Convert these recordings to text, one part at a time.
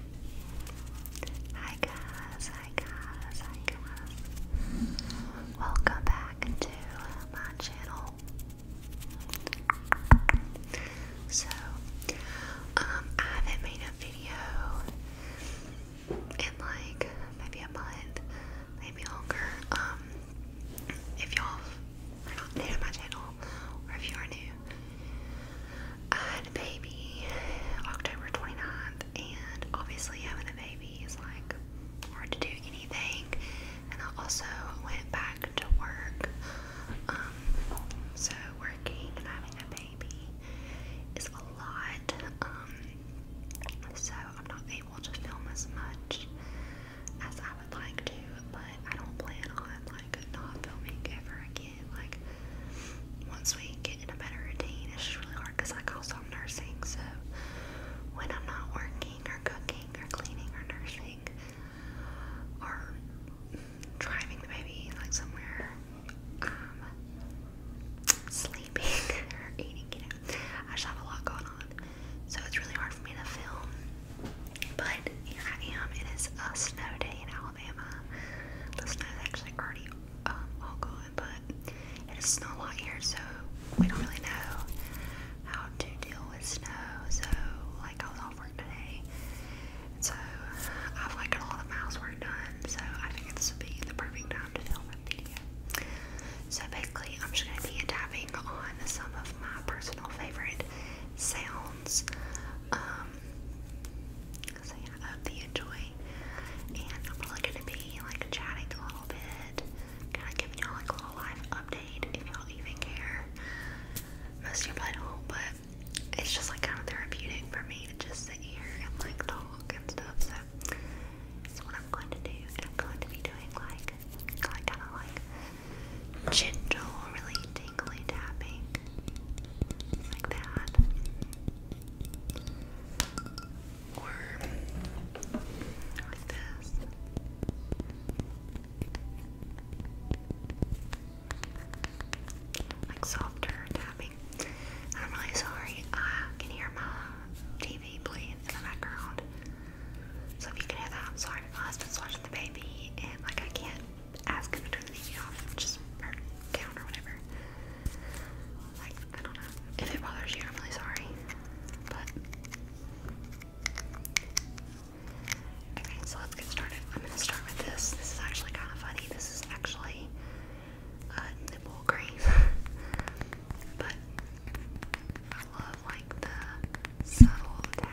Hi guys, hi guys, hi guys. Welcome back to my channel. So, um, I haven't made a video in like maybe a month, maybe longer. Um, if y'all are new to my channel, or if you are new, had a baby October 29th, and obviously having a baby is like hard to do anything. And I also went back to work. Um, so working and having a baby is a lot. Um, so I'm not able to film as much as I would like to, but I don't plan on like not filming ever again. Like, once we get in a better routine, it's just really hard because I also nursing. So, when I'm not working or cooking or cleaning or nursing or driving the baby like somewhere, um, sleeping or eating, you know, I just have a lot going on. So, it's really hard for me to film. But here It is a snow day in Alabama. Listeners actually already all gone, but it is snow here, so we don't really know how to deal with snow. So, like, I was off work today, so I've like got all the mouse work done. So I figured this would be the perfect time to film a video. So basically, I'm just gonna be tapping on some of my personal favorite sounds. Um, um, so enjoy. And I'm probably gonna be like chatting a little bit, kind of giving y'all like a little life update if y'all even care. Most of you probably don't, but it's just like kind of therapeutic for me to just sit here and like talk and stuff. So that's what I'm going to do. And I'm going to be doing like kind of like gentle, really tingly tapping like that. Or like this. Like softer tapping. I'm really sorry. I ah, can hear my TV playing in the background. So if you can hear that, I'm sorry. My husband's watching the baby and like I can't ask him to turn the TV off, which count or whatever. Like, I don't know. If it bothers you, I'm really sorry. But okay, so let's get started. I'm gonna start with this. This is actually kind of funny. This is actually nipple cream, but I love like the subtle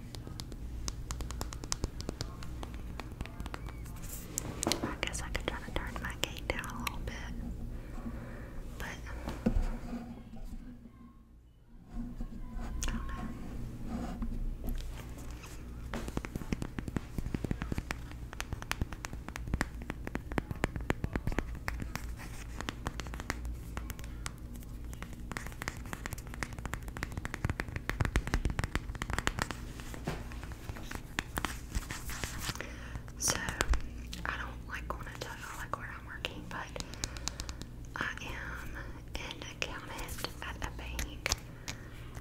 I guess I could try to turn my gate down a little bit, but I don't know. I so, I don't like want to tell you like where I'm working, but I am an accountant at a bank.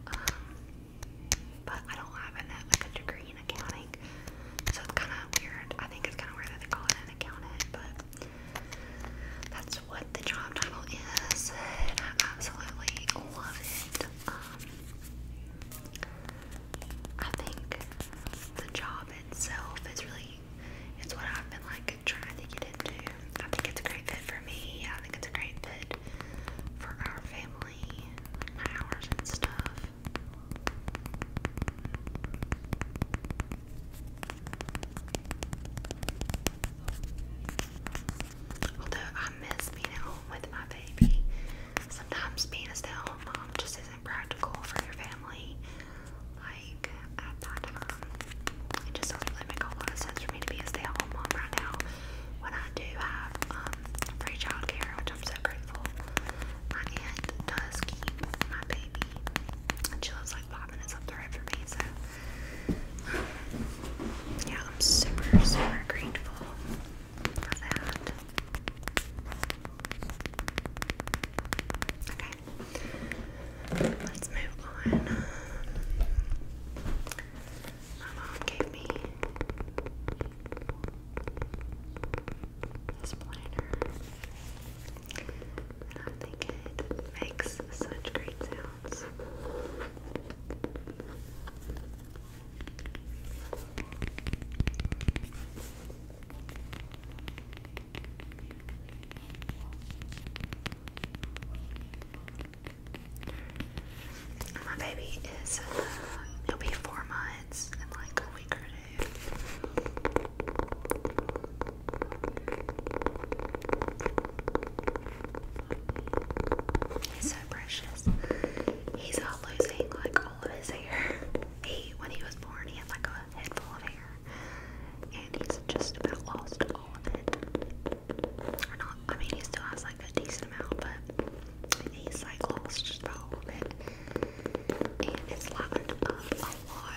Um, but I don't have a degree in accounting, so it's kind of weird. I think it's kind of weird that they call it an accountant, but that's what the job title is, and I absolutely love it. Um, I think the job itself is really, it's what I've been like trying to get into. I think it's a great fit for me. I think it's a great fit for our family, my hours and stuff. Although I miss being at home with my baby, sometimes being a stay at home mom just isn't practical for your family. Like at that time, it just doesn't make a lot of sense for me to be a stay at home mom right now when I do have um, free childcare, which I'm so grateful. My aunt does keep my baby, and she loves like yeah, I'm super, super grateful for that. Okay, let's move on. My mom gave me this planner. I think it makes such great sounds. My baby is, uh, will be four months in like a week or two. He's so precious. He's all losing like all of his hair. He, when he was born, he had like a head full of hair, and he's just about lost all of it. Or not? I mean, he still has like a decent amount, but he's like lost just about all of it, and it's lightened up uh, a lot.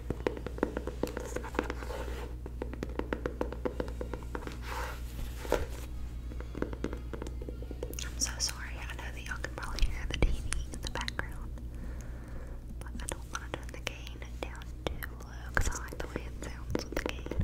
I'm so sorry, I know that y'all can probably hear the TV in the background, but I don't want to turn the gain down too low because I like the way it sounds with the gain.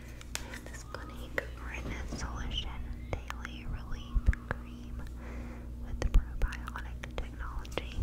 This Clinique Rinse Solution Daily Relief Cream with Probiotic Technology.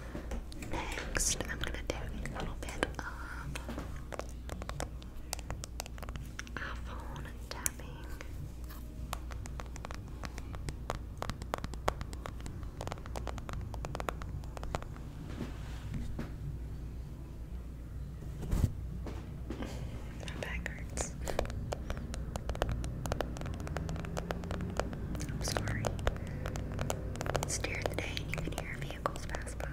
Next, I'm gonna do a little bit of iPhone tapping. My back hurts. I'm sorry. It's during the day, you can hear me vehicles pass by.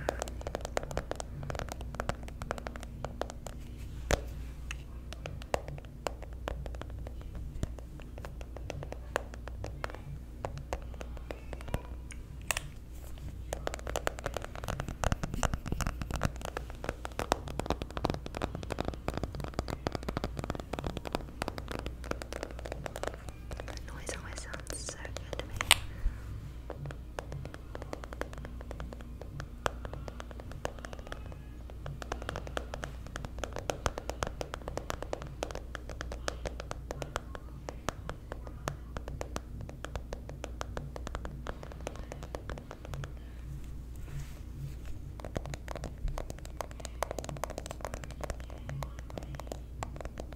That noise always sounds so good to me.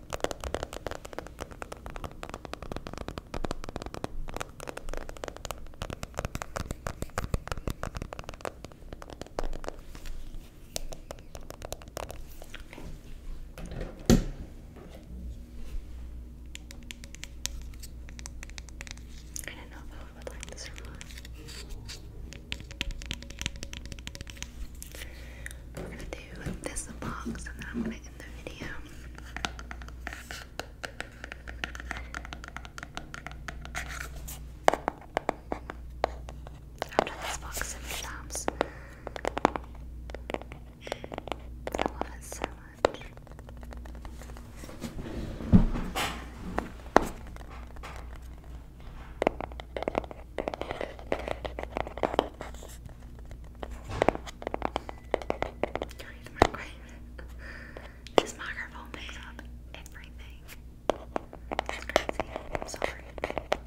I don't know if I would like this or not. We're gonna this box and then I'm gonna end the video. I've this box so much the microwave. this microphone picks up everything. It's crazy. I'm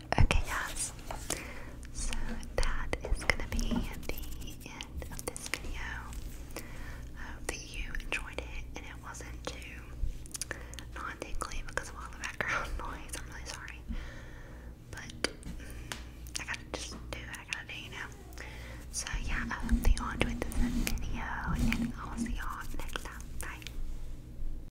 Okay, guys. So that is gonna be the end of this video. I hope that you enjoyed it and it wasn't too non tingly because of all the background noise. I'm really sorry. But mm, I gotta just do what I gotta do, you know. So yeah, I hope that you enjoyed this video and I'll see y'all next time. Bye.